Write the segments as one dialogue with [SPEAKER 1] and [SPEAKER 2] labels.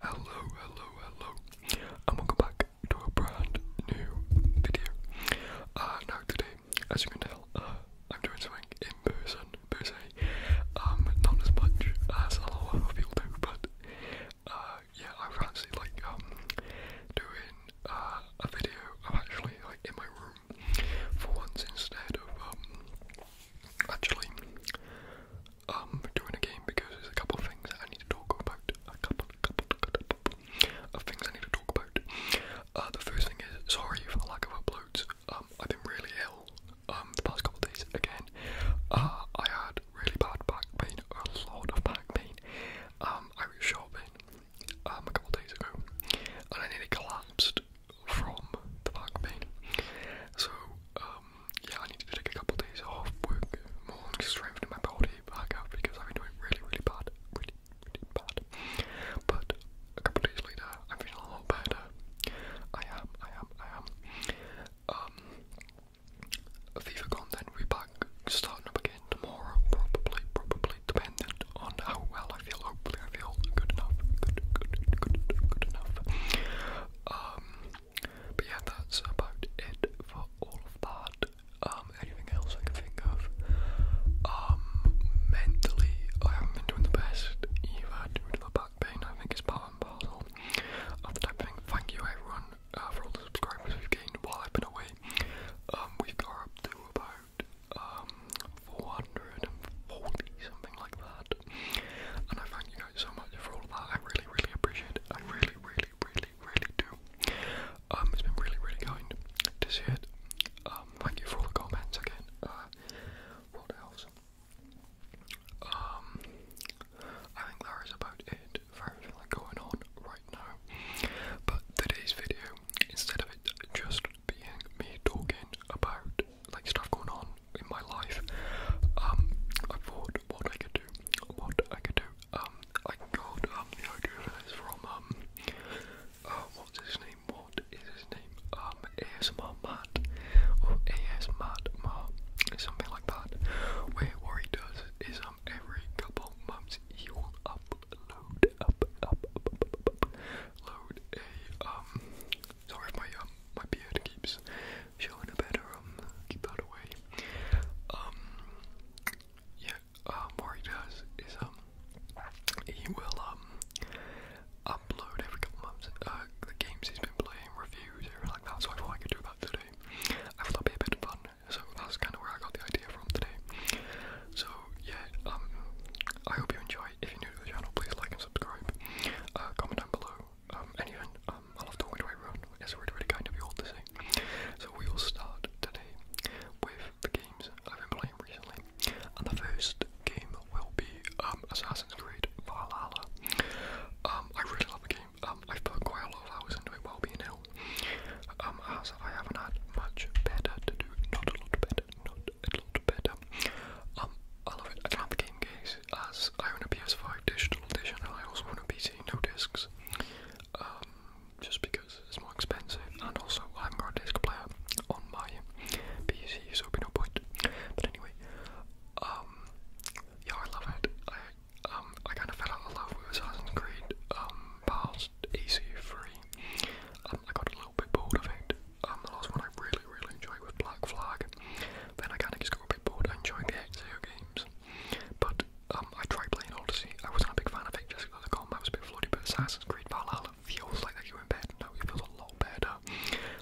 [SPEAKER 1] Hello, hello, hello, and welcome back to a brand new video. Uh, now today, as you can tell, uh, I'm doing something in person, per se. Um, not as much as a lot of people do, but uh, yeah, I fancy like um doing uh, a video. I'm actually like in my room for once instead of um actually um doing a game because there's a couple of things I need to talk about. A couple, couple, couple of things I need to talk about. Uh, the first thing is sorry for the lack of uploads. Um, I've been really ill um the past couple days again. Uh, I had really bad back pain, a lot of back pain. Um, I was shopping um a couple days ago, and I nearly collapsed from the back pain. So um yeah, I need to take a couple days off work, more to strengthen my body back up because I've been doing really, really bad, really, really bad. But a couple days later, I'm a lot better. I am, I am, I am. Um, FIFACon then we back, starting up again tomorrow, probably, probably, dependent on how well I feel. Hopefully, I feel good enough, good, good, good, good enough. Um, but yeah, that's about it for all of that. Um, anything else I can think of? Um, mentally, I haven't been doing the best either due to the back pain. I think it's part and parcel of the type of Thank you, everyone, uh, for all the subscribers we gained while I've been away. Um, we've got up to about 440 something like that. And I thank you guys so much for all that. I really, really appreciate it. I really, really, really, really do. Um, it's been really, really kind to see it. Um, thank you for all the comments again. Uh, what else? Um, I think that is about it for everything like, going on right now. But today's video, instead of it just being me talking about like stuff going on in my life, um, I thought what I could do, what I could do, um, I got um the idea for from um, uh, what's his name? What is his name? Um, ASMR Matt or Matt Matt, something like that. Where what he does is um every couple months he will upload up up up up, up, up, up load a um Sorry if my um my beard keeps showing a better um keep that away. Um yeah, um what does is um he will um upload every couple months uh the games he's been playing, reviews, everything like that, so I thought I could do that today. I thought that'd be a bit fun, so that's kinda where I got the idea from today. So yeah, um I hope you enjoy if you're new to the channel, please like and subscribe. Uh, comment down below. Um, um I love talking to everyone. It's really, really kind of you all to see. So we will start today with the games I've been playing recently, and the first game will be um, Assassin's Creed Valhalla. Um, I really love the game. I've put quite a lot of hours into it while being ill. Um, I haven't had much better to do, not a lot better, not a lot better um, I love it. I can game case as I own a PS5 digital edition and I also own a PC, no discs. Um, just because it's more expensive and also I haven't got a disc player on my PC, so it'd be no point. But anyway, um, yeah, I love it. I kind of fell out of love with Assassin's Creed past EC3. Um, I got a little bit bored of it, um, the last one I really, really enjoy was Black Flag. Then I kind of just got a bit bored. I enjoyed the x games. But um, I try playing Odyssey. I wasn't a big fan of it just because the combat was a bit floaty, but Assassin's Creed Valhalla feels like you're in bed now. you feel a lot better.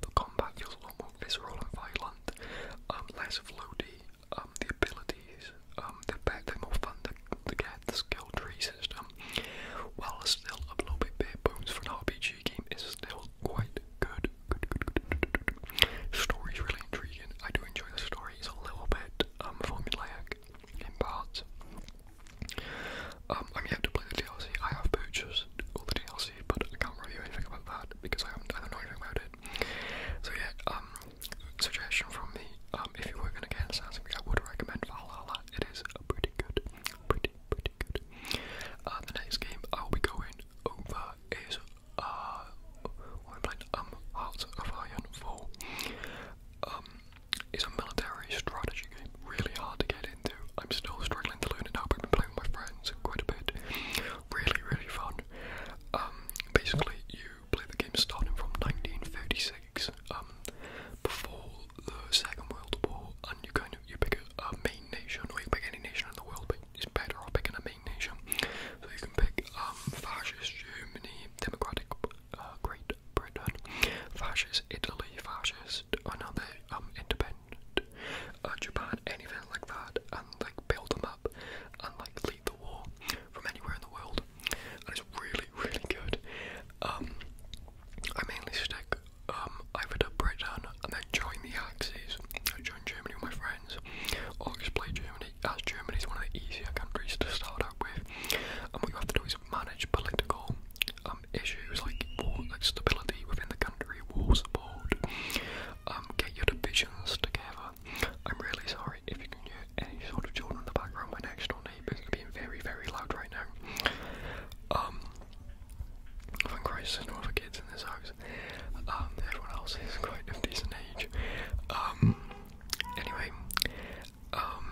[SPEAKER 1] The combat feels a lot more visceral and violent, um, less floaty. Um, the abilities, um, they're, better, they're more fun The get. The skill tree system am. While still a little bit bare bones for an RPG game, it's still quite good. good, good, good, good. Story's really intriguing. I do enjoy the story. It's a little bit um, formulaic in parts. Um, I'm yet to play the DLC. I have purchased all the DLC, but I can't review anything about that because I, haven't, I don't anything about it. So yeah, um, suggestion from me. Um, if you were going to get Assassin's Creed, I would recommend Valhalla. It is a pretty good, pretty pretty, good. Uh, the next game I will be going over is uh, we playing um Hearts of Iron 4. Um, it's a military strategy game, really hard to get into. I'm still struggling to learn it now, but I've been playing with my friends quite a bit. Really, really fun. Um, basically, you play the game starting from 1936, um, before the Second World War, and you can you pick a, main nation, or you pick any nation in the world, but it's better off picking a main nation. So you can pick um, fascist Germany, democratic uh, Great Britain, fascist Italy, fascist another um, independent uh, Japan, anything like that, and like build them up and like lead the war from anywhere in the world, and it's really really good. Um, I mainly stick um, either to Britain and then joined the Axis, I joined Germany with my friends, or explore Germany, as Germany is one of the easier countries to start out with. And what you have to do is manage political um, issues like war, like stability within the country, war support, um, get your divisions together. I'm really sorry if you can hear any sort of children in the background. My next door beeping being very, very loud right now. Um, thank Christ there's no other kids in this house. Um, everyone else is quite of decent age. Um, anyway, um,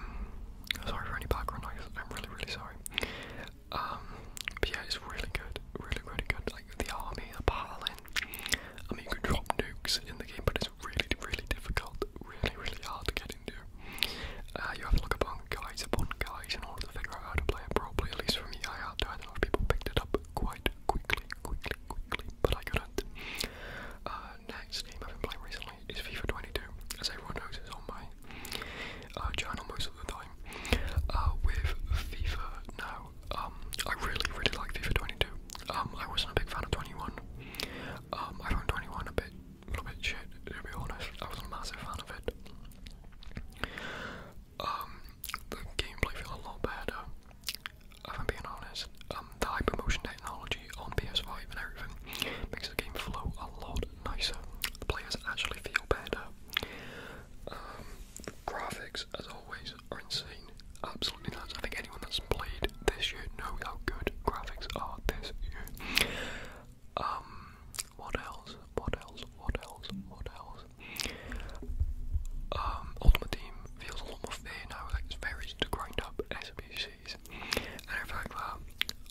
[SPEAKER 1] sorry for any background noise, I'm really, really sorry. Um, but yeah, it's really good, really, really good. Like the army, the paladin. I mean, you can drop nukes in the game, but it's really, really difficult, really, really hard to get getting to. Uh, you have to look upon guides upon guides in order to figure out how to play it properly. At least for me, I had to. I don't know if people picked it up quite quickly, quickly, quickly, but I couldn't. Uh, next game I've been playing recently is FIFA 22. As everyone knows, it's on my uh, channel most of the time. Uh, with FIFA now, um, I really, really like FIFA 22. Um, I wasn't a big fan of 21. Um, I found 21 a bit a little bit shit, to be honest. I was a massive fan of it. Um, the gameplay feels a lot better, if I'm being honest. Um, the hypermotion technology on PS5 and everything makes the game flow a lot nicer. players actually feel better. Um, graphics, as always, are insane. Absolutely nuts. I think anyone that's played this year. Know how good graphics are this year. Um, what else? What else? What else? What else? Um, Ultimate Team feels a lot more fair now. Like it's very easy to grind up SBCs and in fact, that.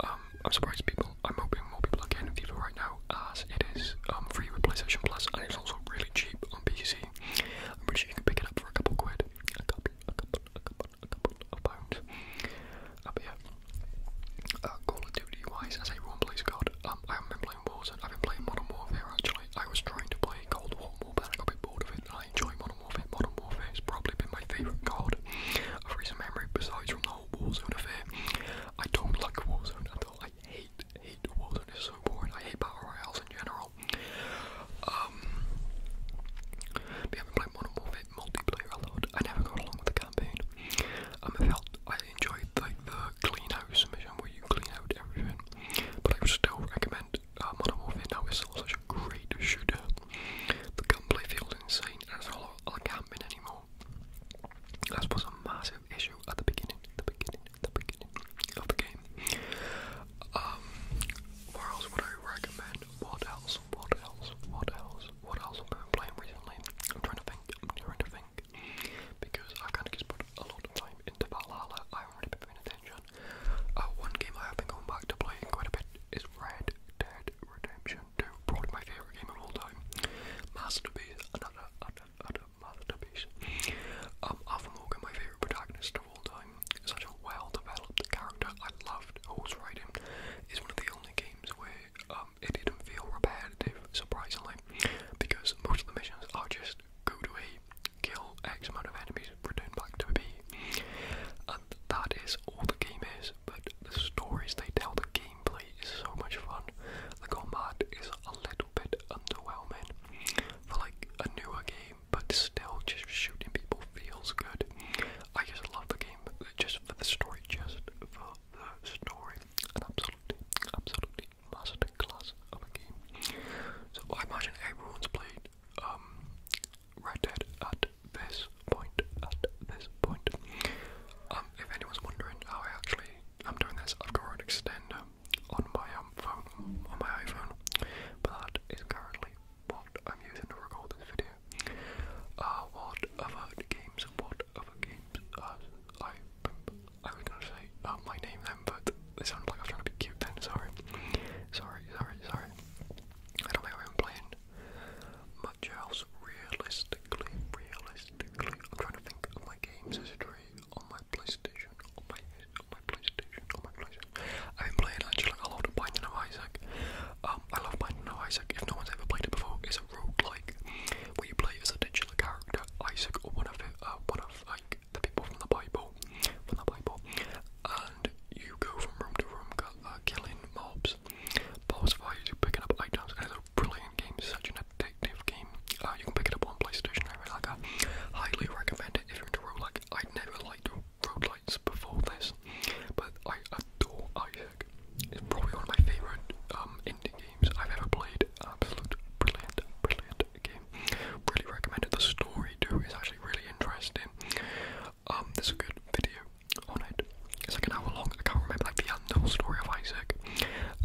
[SPEAKER 1] Um, I'm surprised people. I'm hoping more people are getting FIFA right now, as it is um free with PlayStation Plus, and it's also really cheap on PC. I'm pretty sure you can pick it up for a couple quid. A couple, a couple, a couple, couple, uh, yeah, uh, Call of Duty wise, as everyone plays um, I haven't been playing Warzone, I've been playing Modern Warfare actually. I was trying to play Cold War more, but I got a bit bored of it, I enjoy Modern Warfare. Modern Warfare has probably been my favourite COD of recent memory, besides from the whole Warzone affair. I don't like Warzone at all, I hate, hate Warzone, it's so boring, I hate Power Royales in general. Um, but yeah, I've been multiplayer a lot. I never got along with the campaign. Um, I felt I enjoyed like the clean house mission where you clean out everything, but I would still recommend uh, Modern Warfare now. It's still such a great shooter. The gunplay feels insane, and it's not like camping anymore. That was a massive issue at the beginning, the beginning, the beginning of the game. Um, what else would I recommend? mind. What else? What else? What else? What else have I been playing recently? I'm trying to think. I'm trying to think. Because I kind of just put a lot of time into Valhalla. I haven't really been paying attention. Uh, one game I have been going back to playing quite a bit is Red Dead Redemption 2. Probably my favourite game of all time. Masterpiece. Another, another, another masterpiece. Um, Alpha Morgan, my favourite protagonist, all time. Such a well developed character. I loved horse riding. It's one of the only games where um, it didn't feel repetitive, surprisingly, because most of the missions are just go to A, kill X amount of enemies, return back to B. And that is all the game is, but the stories they tell, the gameplay is so much fun. The combat is a little bit underwhelming. For like a newer game, but still just shooting people feels good. I just love the game just for the story, just for the story. absolutely, absolutely masterclass of a game. So I imagine everyone's played um, Red Dead at this point, at this point. Um, if anyone's wondering how I actually i am doing this, I've got an extender on my um, phone, on my iPhone, but that is currently what I'm using to record this video. Uh, what other games, what other games, uh, I, I was gonna say, uh, my name then, but it sounded like I was trying to be cute then, sorry. Sorry, sorry, sorry. I don't think I've been playing much else realistically, realistically. I'm trying to think of my games history on my PlayStation. PlayStation, my on my PlayStation, on my PlayStation. I've been playing actually a lot of Binding of Isaac. Um, I love Binding of Isaac. If no one's ever played it before, is a roguelike where you play as a digital character, Isaac or one of it, uh, one of like the people from the Bible, from the Bible, and you go from room to room, uh, killing mobs, boss fights, picking up items. it's a brilliant game, such an addictive game. Uh, you can pick it up on PlayStation. I really like that. Highly recommend it if you're into roguelike. I never road lights before this, but I adore Isaac. It's probably one of my favourite um, indie games I've ever played. Absolute brilliant, brilliant game. Really recommended. The story too is actually really interesting. Um, there's a good video on it. It's like an hour long. I can't remember like the unknown story of Isaac.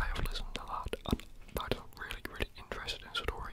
[SPEAKER 1] I have listened a lot. and that is a really, really interesting story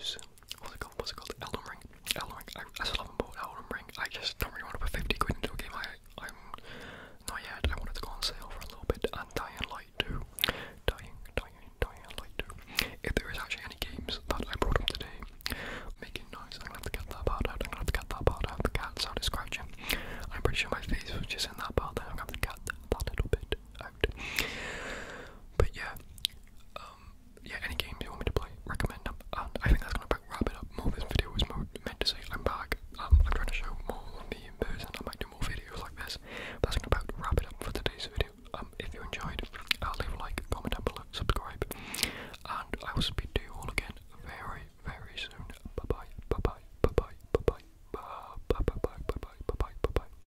[SPEAKER 1] is what's it called? What's it called? Elden Ring. Elden Ring. I, I still haven't bought Elden Ring. I just don't really want to put 50 quid into a game. I, I'm not yet. I wanted to go on sale for a little bit. And Dying Light 2. Dying, Dying, Dying Light 2. If there is actually any games that I brought up today making noise, I'm gonna have to get that part out. I'm gonna have to get that part out. The cat sounded scratching. I'm pretty sure my face was just in that part. Then I'm gonna have to get that little bit out. But yeah, um, yeah, any games you want me to play, recommend them. And I think that's gonna wrap it up. More this video was meant to say I'm back. Um, I'm trying to show more of me in person. I might do more videos like this. But that's gonna about wrap it up for today's video. Um, if you enjoyed, uh, leave a like, comment down below, subscribe, and I will speak to you all again very, very soon. Bye bye, bye bye, bye bye, bye bye, bye bye, bye bye, bye bye, bye bye.